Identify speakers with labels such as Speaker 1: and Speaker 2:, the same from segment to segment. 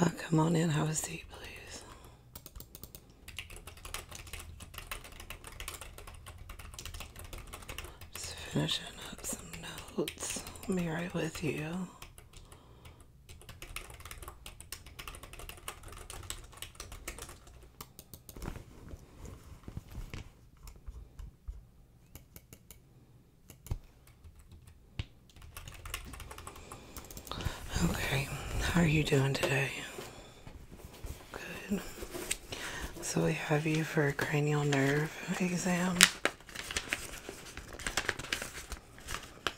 Speaker 1: Ah, come on in, have a seat, please. Just finishing up some notes. i be right with you. Okay, how are you doing today? Good. So we have you for a cranial nerve exam.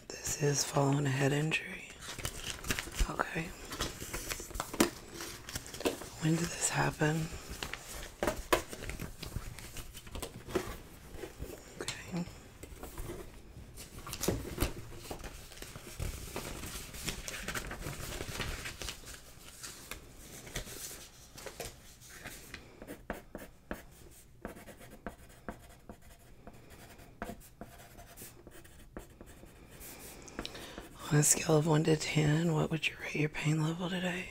Speaker 1: This is following a head injury. Okay. When did this happen? On a scale of 1 to 10, what would you rate your pain level today?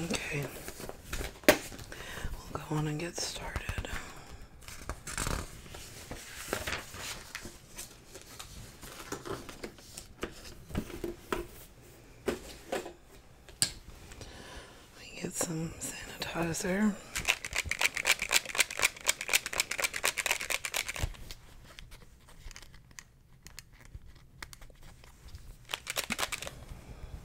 Speaker 1: Okay, we'll go on and get started get some sanitizer.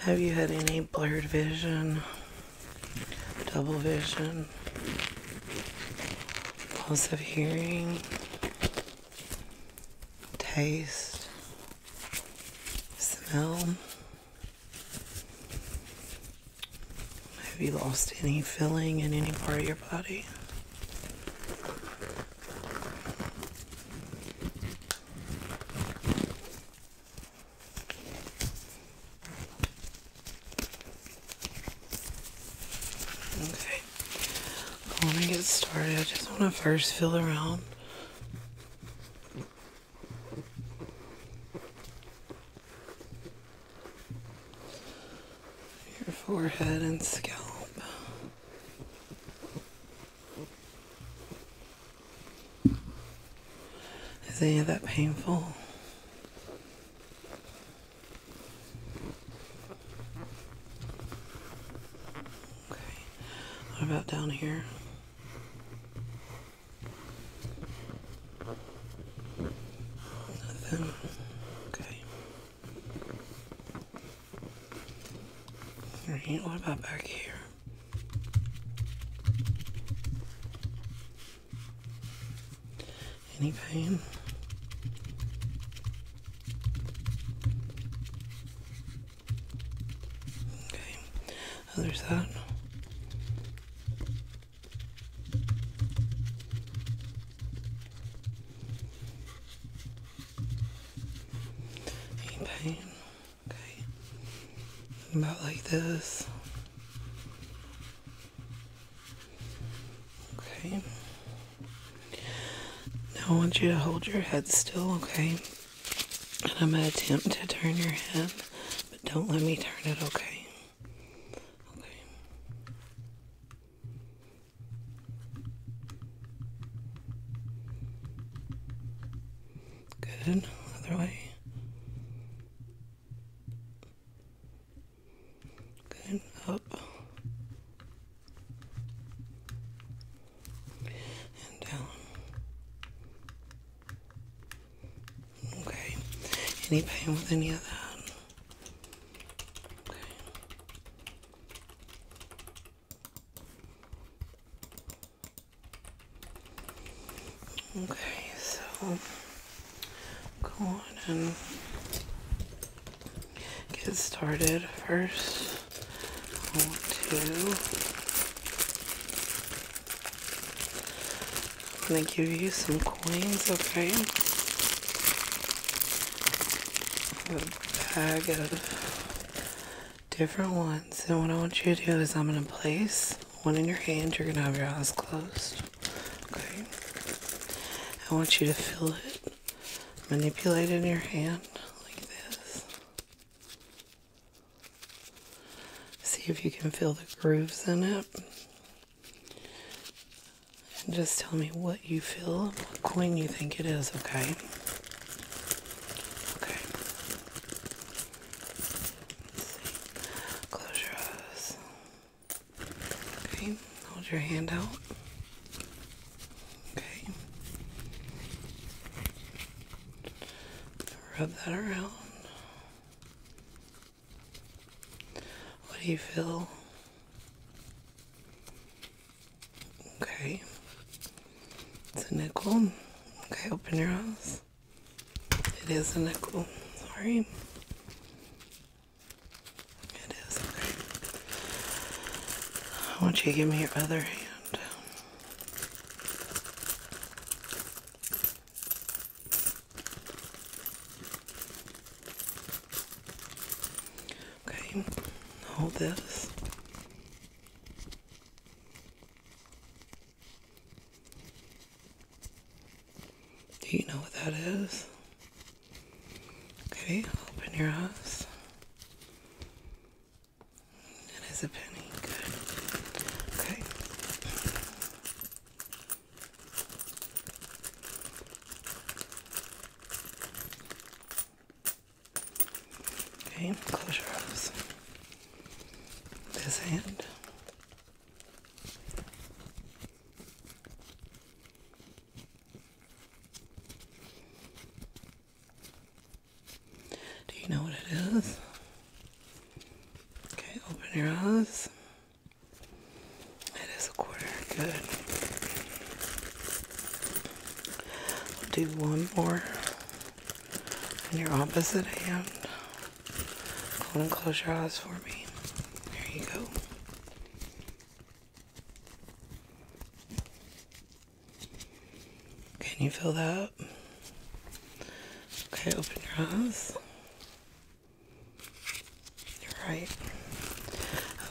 Speaker 1: Have you had any blurred vision, double vision, loss of hearing, taste, smell? Have you lost any feeling in any part of your body? Okay. I want get started. I just want to first feel around. Your forehead and scalp. Is any of that painful? Okay, what about down here? Nothing. Okay. Alright, what about back here? Any pain? Okay, other side. Any pain? Okay, about like this. Okay. Now I want you to hold your head still, okay? And I'm gonna attempt to turn your head, but don't let me turn it, okay? Okay. Good. Other way. Good. Up. And down. Okay. Any pain with any of that? Okay. Okay, so go on and get started first. I am gonna give you some coins, okay? A bag of different ones. And what I want you to do is I'm going to place one in your hand. You're going to have your eyes closed. Okay. I want you to feel it manipulate it in your hand like this. See if you can feel the grooves in it. And just tell me what you feel, what coin you think it is, okay? Okay. Close your eyes. Okay, hold your hand out. Okay. Rub that around. What do you feel? Okay. It's a nickel. Okay, open your eyes. It is a nickel. Sorry. It is. I want you to give me your other hand. Okay, hold this. Do you know what that is? Okay, open your eyes. It is a penny. Okay. Okay, close your eyes this hand. Do you know what it is? Okay, open your eyes. It is a quarter. Good. We'll do one more on your opposite hand. Go and close your eyes for me. There you go. Can you feel that? Okay, open your eyes. You're right.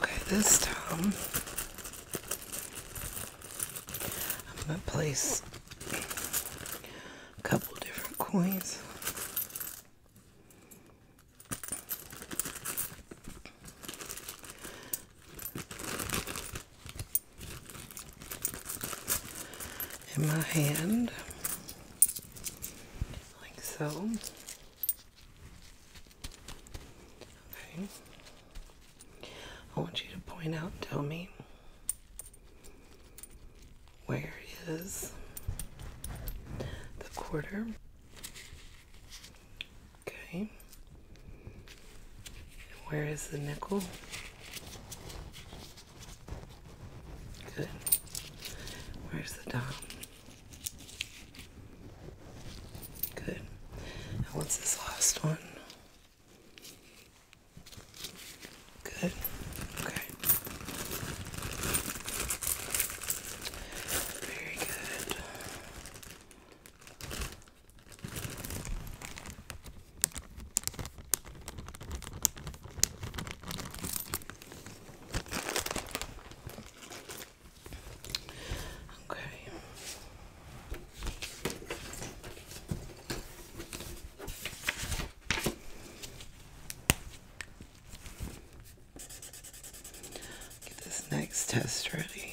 Speaker 1: Okay, this time I'm going to place a couple different coins. In my hand, like so. Okay. I want you to point out and tell me where is the quarter. Okay. Where is the nickel? Good. Where's the dime? Good. And what's this last one? Good. Okay. Very good. Okay. Get this next test ready.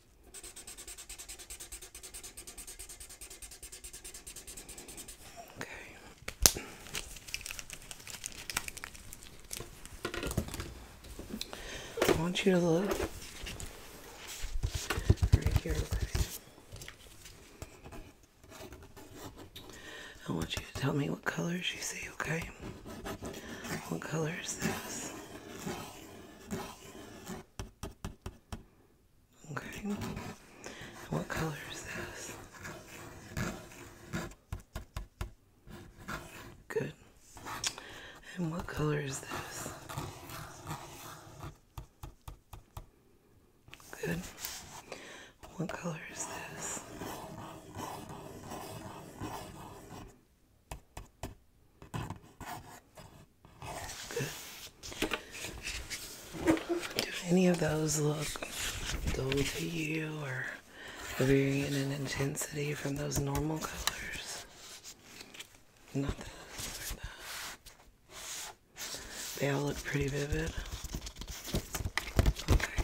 Speaker 1: Okay. I want you to look right here. I want you to tell me what colors you see, okay? What color is this? Okay. what color is this? Good. And what color is this? Good. What color is this? Do any of those look dull to you or varying in intensity from those normal colors? Not this that. They all look pretty vivid. Okay.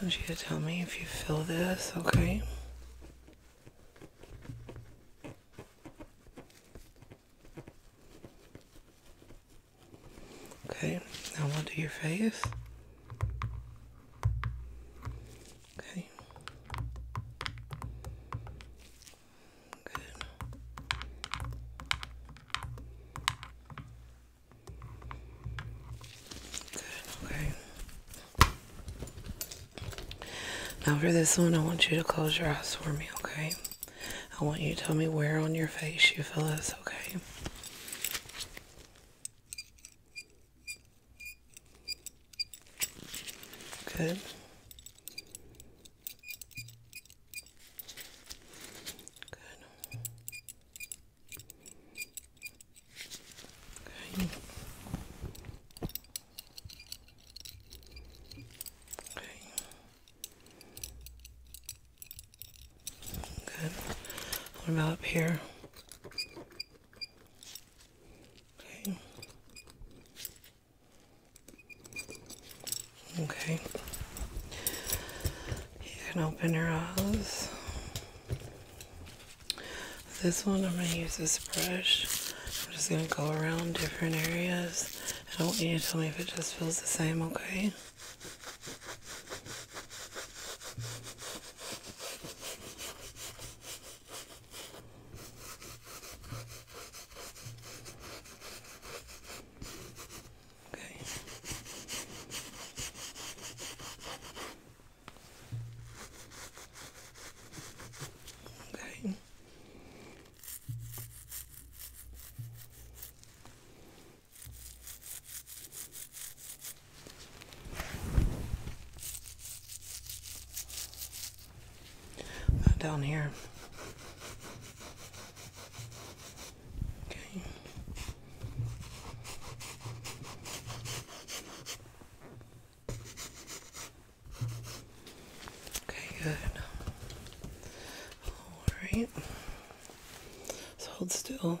Speaker 1: I want you to tell me if you feel this, okay? Okay, now do your face. Okay. Good. Good, okay. Now for this one, I want you to close your eyes for me, okay? I want you to tell me where on your face you feel this, okay? Good. Good. Okay. Okay. Good. What about up here? Okay. Okay. You can open your eyes. This one, I'm going to use this brush. I'm just going to go around different areas. I don't want you to tell me if it just feels the same, okay? Okay. Okay. Uh, down here. Okay. Okay, good. Alright. So hold still.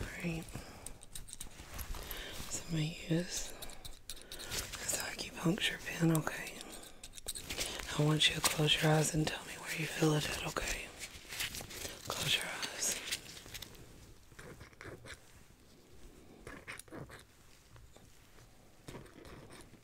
Speaker 1: Alright. So i use this acupuncture pin, okay? I want you to close your eyes and tell me where you feel it at, okay? Close your eyes.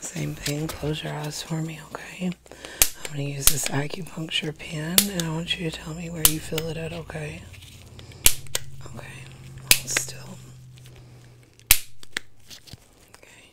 Speaker 1: Same thing, close your eyes for me, okay? I'm going to use this acupuncture pin, and I want you to tell me where you feel it at, okay? Okay, still. Okay.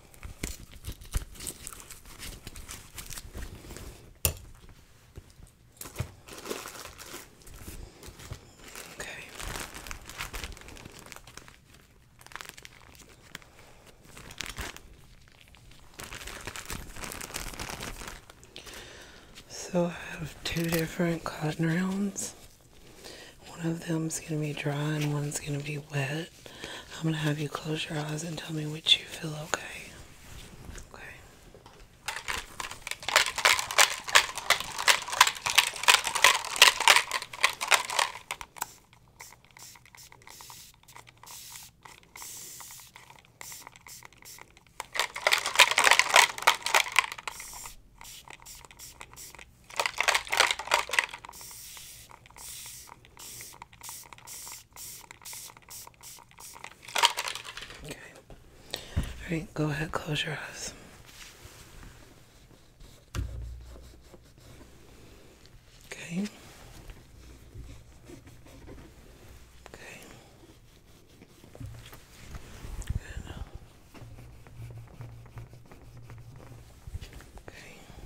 Speaker 1: Okay. So I have two different cotton rounds. One of them's going to be dry and one's going to be wet. I'm going to have you close your eyes and tell me which you feel okay. Okay. Okay. All right, go ahead, close your eyes. Okay. Okay. Good. Okay.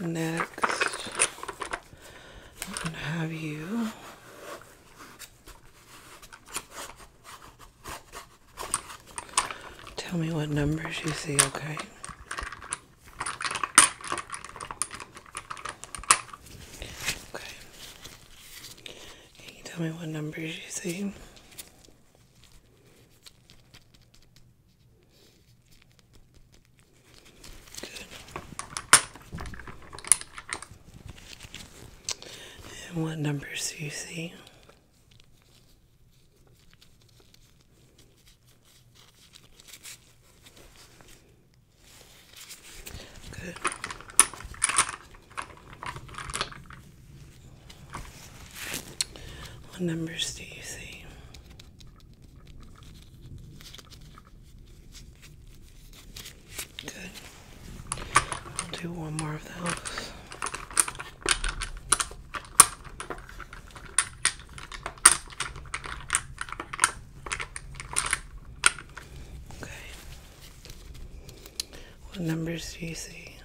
Speaker 1: next, I'm going to have you tell me what numbers you see, okay? Okay. Can you tell me what numbers you see? And what numbers do you see? Good. What numbers do you see? Good. do one more of those. Okay. What numbers do you see?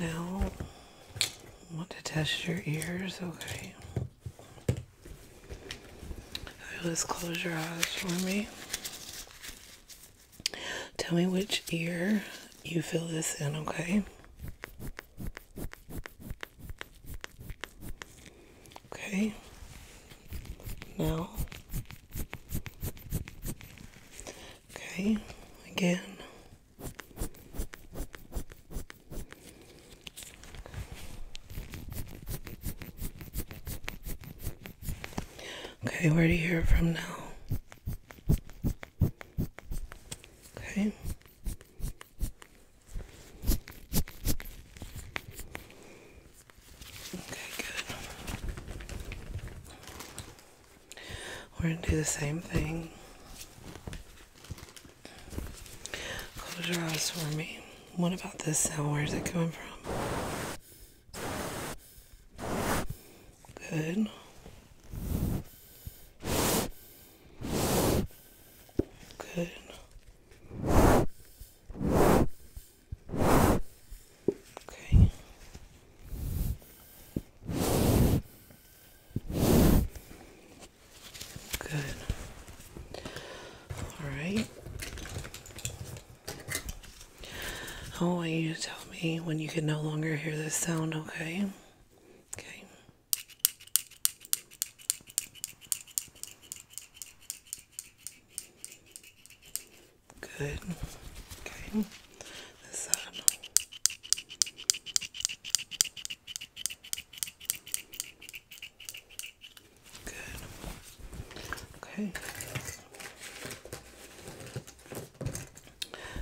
Speaker 1: Now, want to test your ears, okay? Just close your eyes for me. Tell me which ear you feel this in, okay? Okay. Now. Okay. Again. Okay, where do you hear from now? Okay. Okay, good. We're going to do the same thing. Close your eyes for me. What about this sound? Where is it coming from? Good. Good. Okay. Good. All right. I oh, want you to tell me when you can no longer hear this sound, okay? Okay. Good. Okay. This side. Good. Okay.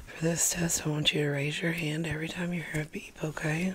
Speaker 1: For this test, I want you to raise your hand every time you hear a beep, okay?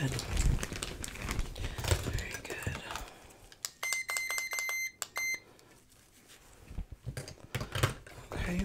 Speaker 1: Good. Very good. Okay.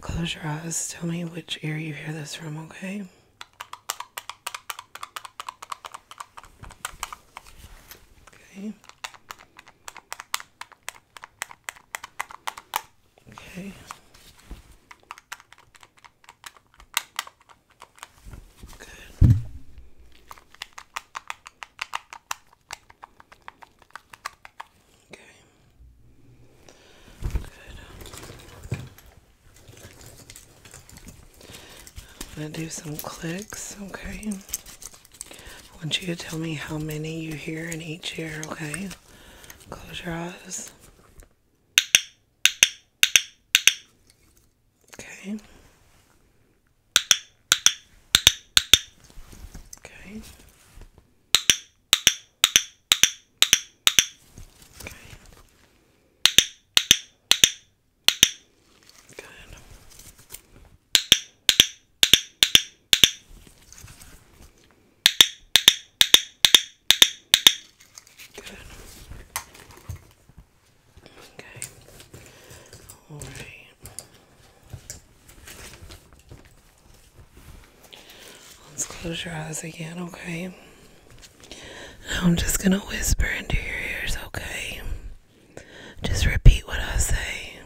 Speaker 1: Close your eyes. Tell me which ear you hear this from, okay? Okay. Okay. Okay. Good. I'm do some clicks, okay? I want you to tell me how many you hear in each ear, okay? Close your eyes. Okay. Okay. Okay. Good. Good. Okay. All right. Let's close your eyes again, okay? Now I'm just gonna whisper into your ears, okay? Just repeat what I say.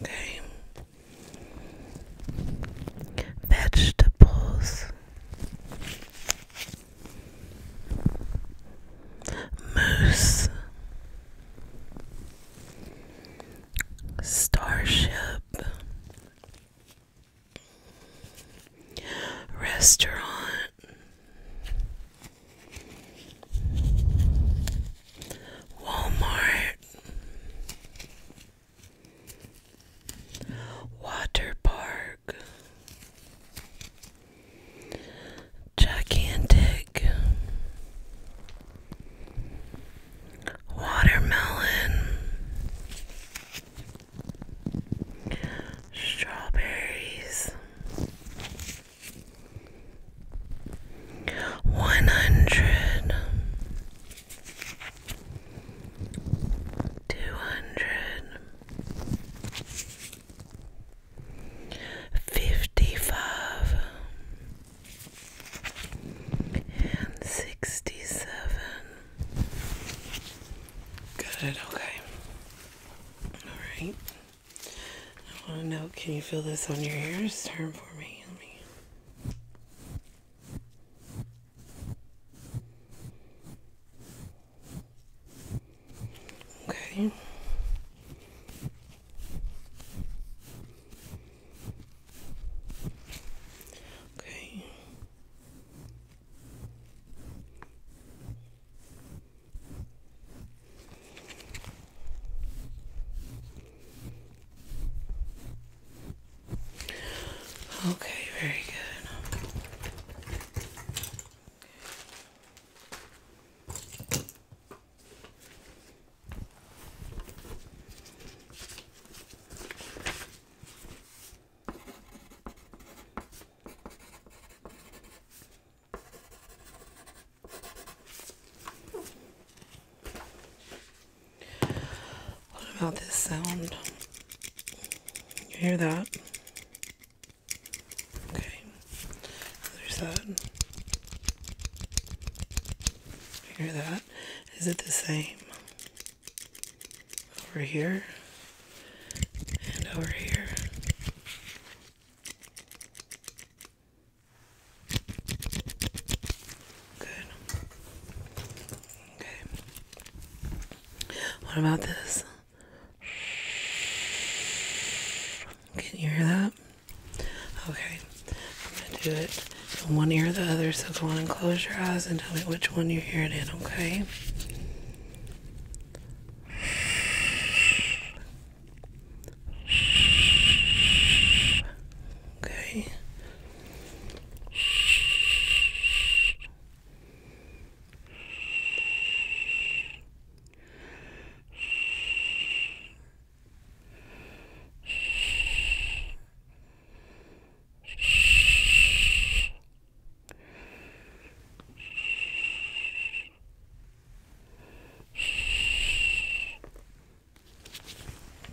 Speaker 1: Okay. Vegetables. Moose. Starship. Restaurant Walmart Water Park Gigantic watermelon, strawberries, one hundred, two hundred. Fifty five 67. Good, okay. Alright. I want to know can you feel this on your ears? Turn for me. Okay. Okay. Okay, very good. What about this sound? You hear that? Okay, other side. You hear that? Is it the same? over here and over here. Good. Okay. What about this? Can you hear that? Okay. I'm going to do it one ear or the other. So go on and close your eyes and tell me which one you hear it okay? Okay.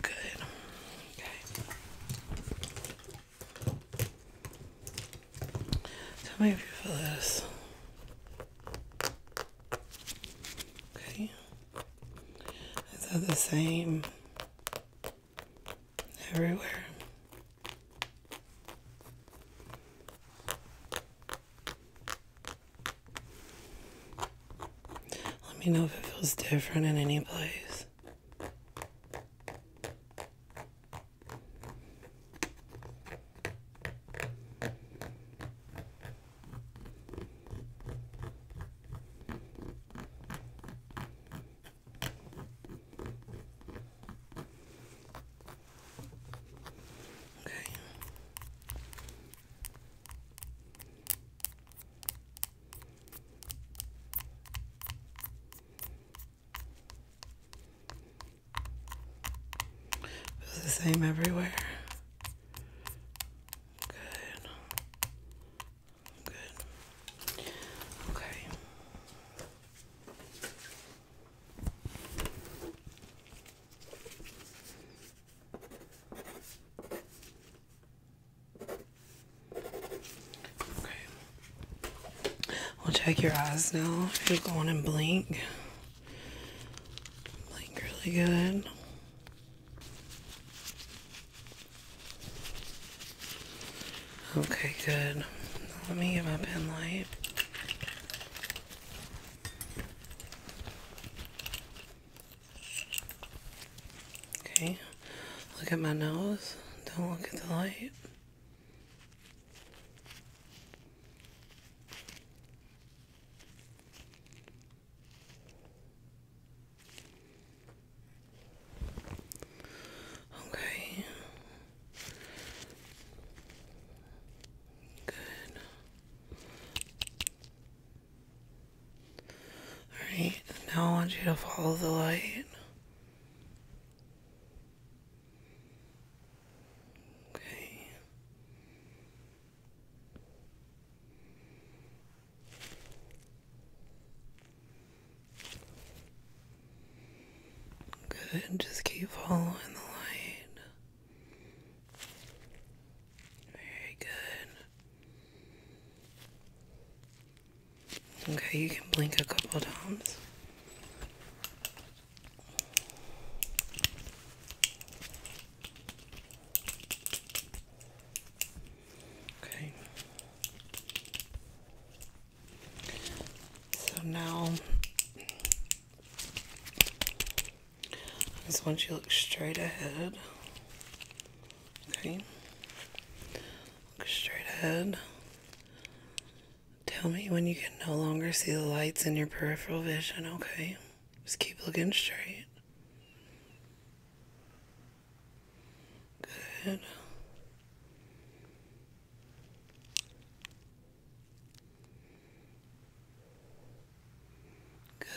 Speaker 1: Good. Okay. Tell me if you feel this. Okay. Is that the same? everywhere. Let me know if it feels different in any place. Okay. Feels the same everywhere. Good. Good. Okay. Okay. We'll check your eyes now. Just go on and blink. Blink really good. Okay, good. let me get my pen light. Okay, look at my nose. Don't look at the light. Okay. Good. Alright, now I want you to follow the light. Okay. Good, just keep following the light. Very good. Okay, you can blink a couple times. Okay. So now I just want you to look straight ahead. Okay. Look straight ahead. Tell me when you can no longer see the lights in your peripheral vision, okay? Just keep looking straight. Good. Good.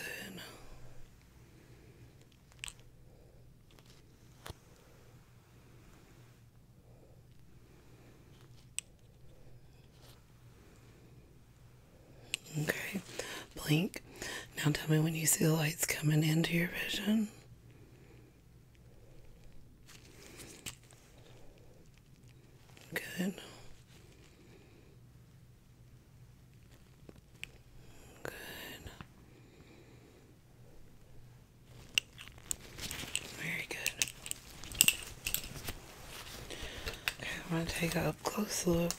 Speaker 1: Okay, blink. Now tell me when you see the lights coming into your vision. Good. Good. Very good. Okay, I'm going to take a close look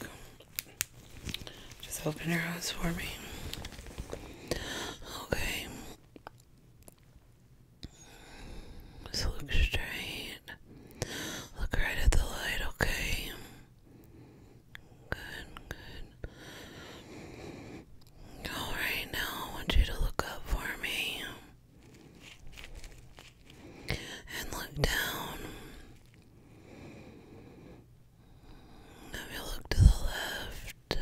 Speaker 1: just open your eyes for me. Okay. Just look straight. Look right at the light, okay? Good, good. Alright, now I want you to look up for me. And look down. If you look to the left, good,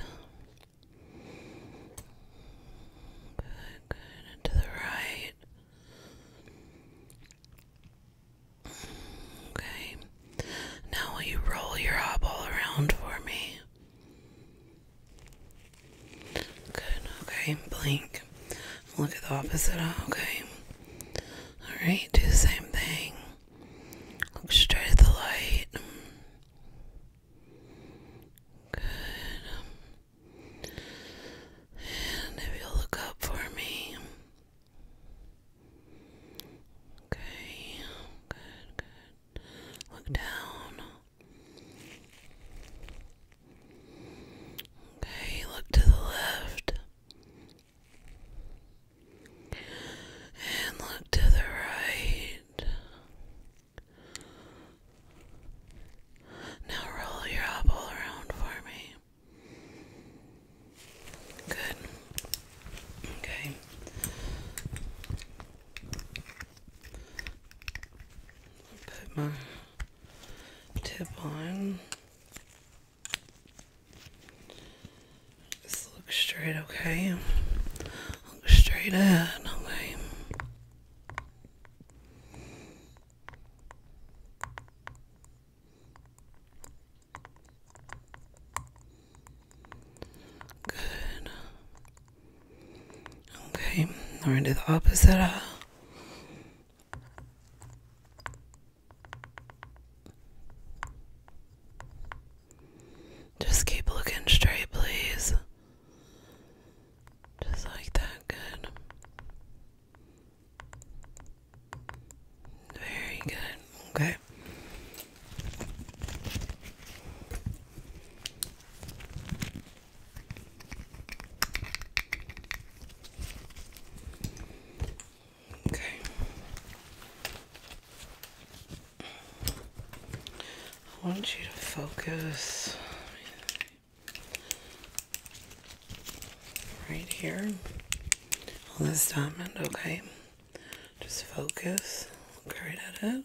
Speaker 1: good, and the right. Okay, now will you roll your eyeball around for me? Good, okay, blink. Look at the opposite okay? Alright, do the same thing. Look straight at the light. Good. And if you'll look up for me. Okay. Good, good. Look down. Okay, look to the left and look to the right. Now roll your eyeball around for me. Good. Okay. Put my tip on. Just look straight, okay? Look straight ahead, okay? Good. Okay, we're going to do the opposite eye. Uh. Just keep looking straight, please. Just like that, good. Very good, okay. Okay. I want you to focus right here on this diamond, okay? Just focus, look right at it.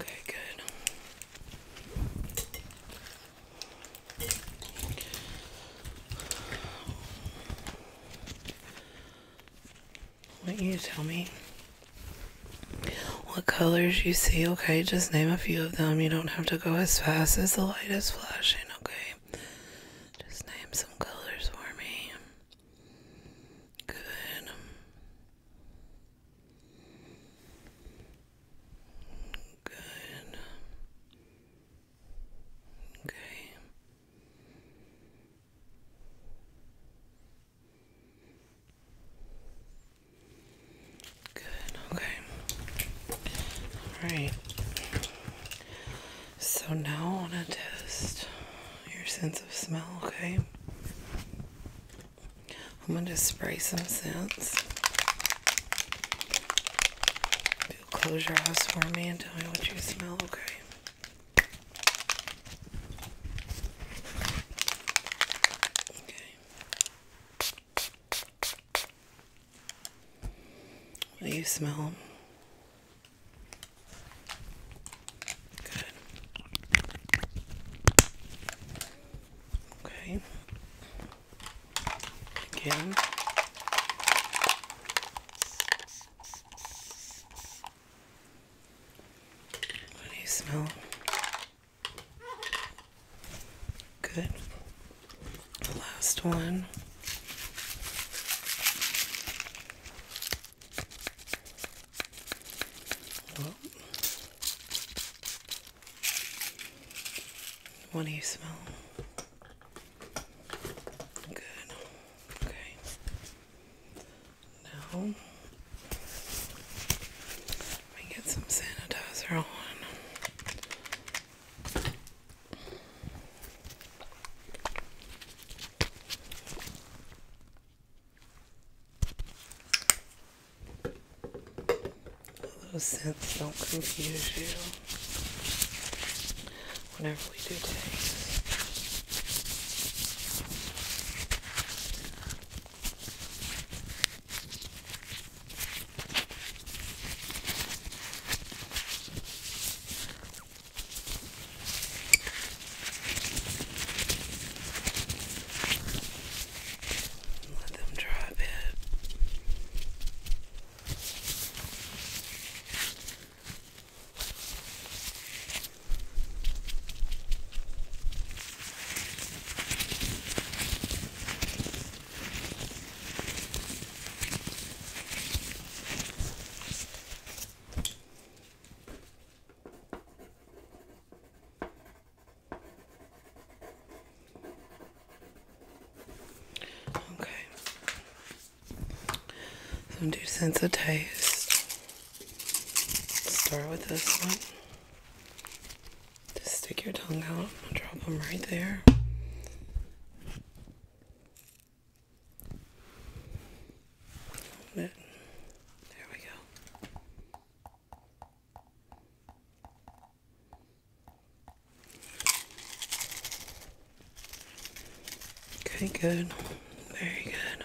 Speaker 1: Okay, good. want you to tell me what colors you see, okay? Just name a few of them. You don't have to go as fast as the light is flashing, okay? Just name some colors for me. Good. Good. Okay. Good, okay. Alright. So now I want to test your sense of smell, okay? I'm going to spray some scents. You'll close your eyes for me and tell me what you smell, okay? Okay. What do you smell? Good. Okay. Again. What do you smell? Good. last one what do you smell? Good. Okay. Now let me get some sanitizer on. Those scents don't confuse you Whatever we do taste. Let them dry a bit. Okay. So I'm do sense of taste. Start with this one. Just stick your tongue out. i drop them right there. There we go. Okay, good. Very good.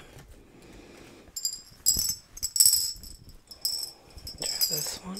Speaker 1: Try this one.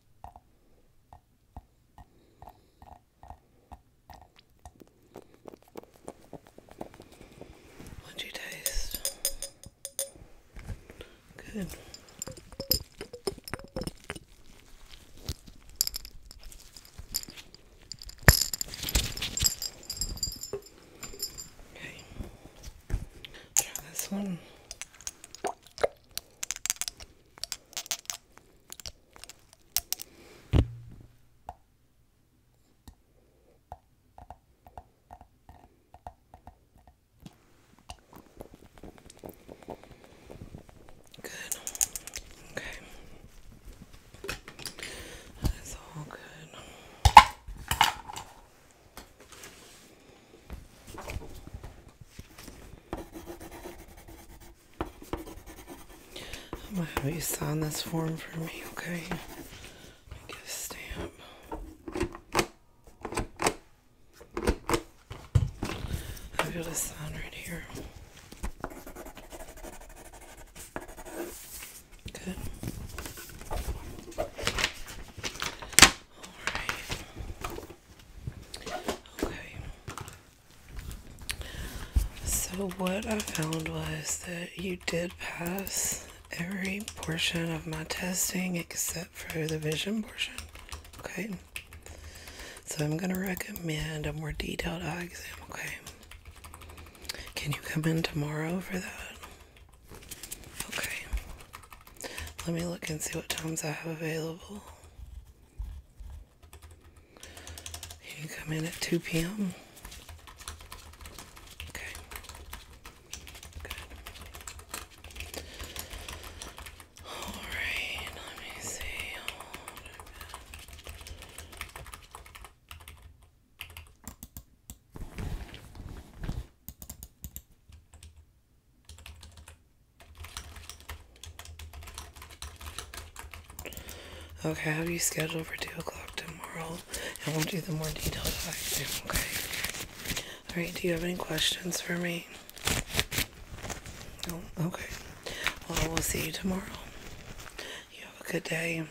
Speaker 1: What do you taste? Good. Okay. Try this one. Good. Okay. That's all good. Oh my going you sign this form for me, okay? Get a stamp. I've got a sign right here. Good. All right. Okay. So, what I found was that you did pass every portion of my testing except for the vision portion. Okay. So, I'm going to recommend a more detailed eye exam. Okay. Can you come in tomorrow for that? Okay. Let me look and see what times I have available. You come in at 2 p.m. Okay. Good. Alright, let me see. Okay, I have you scheduled for 2 o'clock tomorrow, and we'll do the more detailed action, okay? Alright, do you have any questions for me? okay. Well, we will see you tomorrow. You have a good day.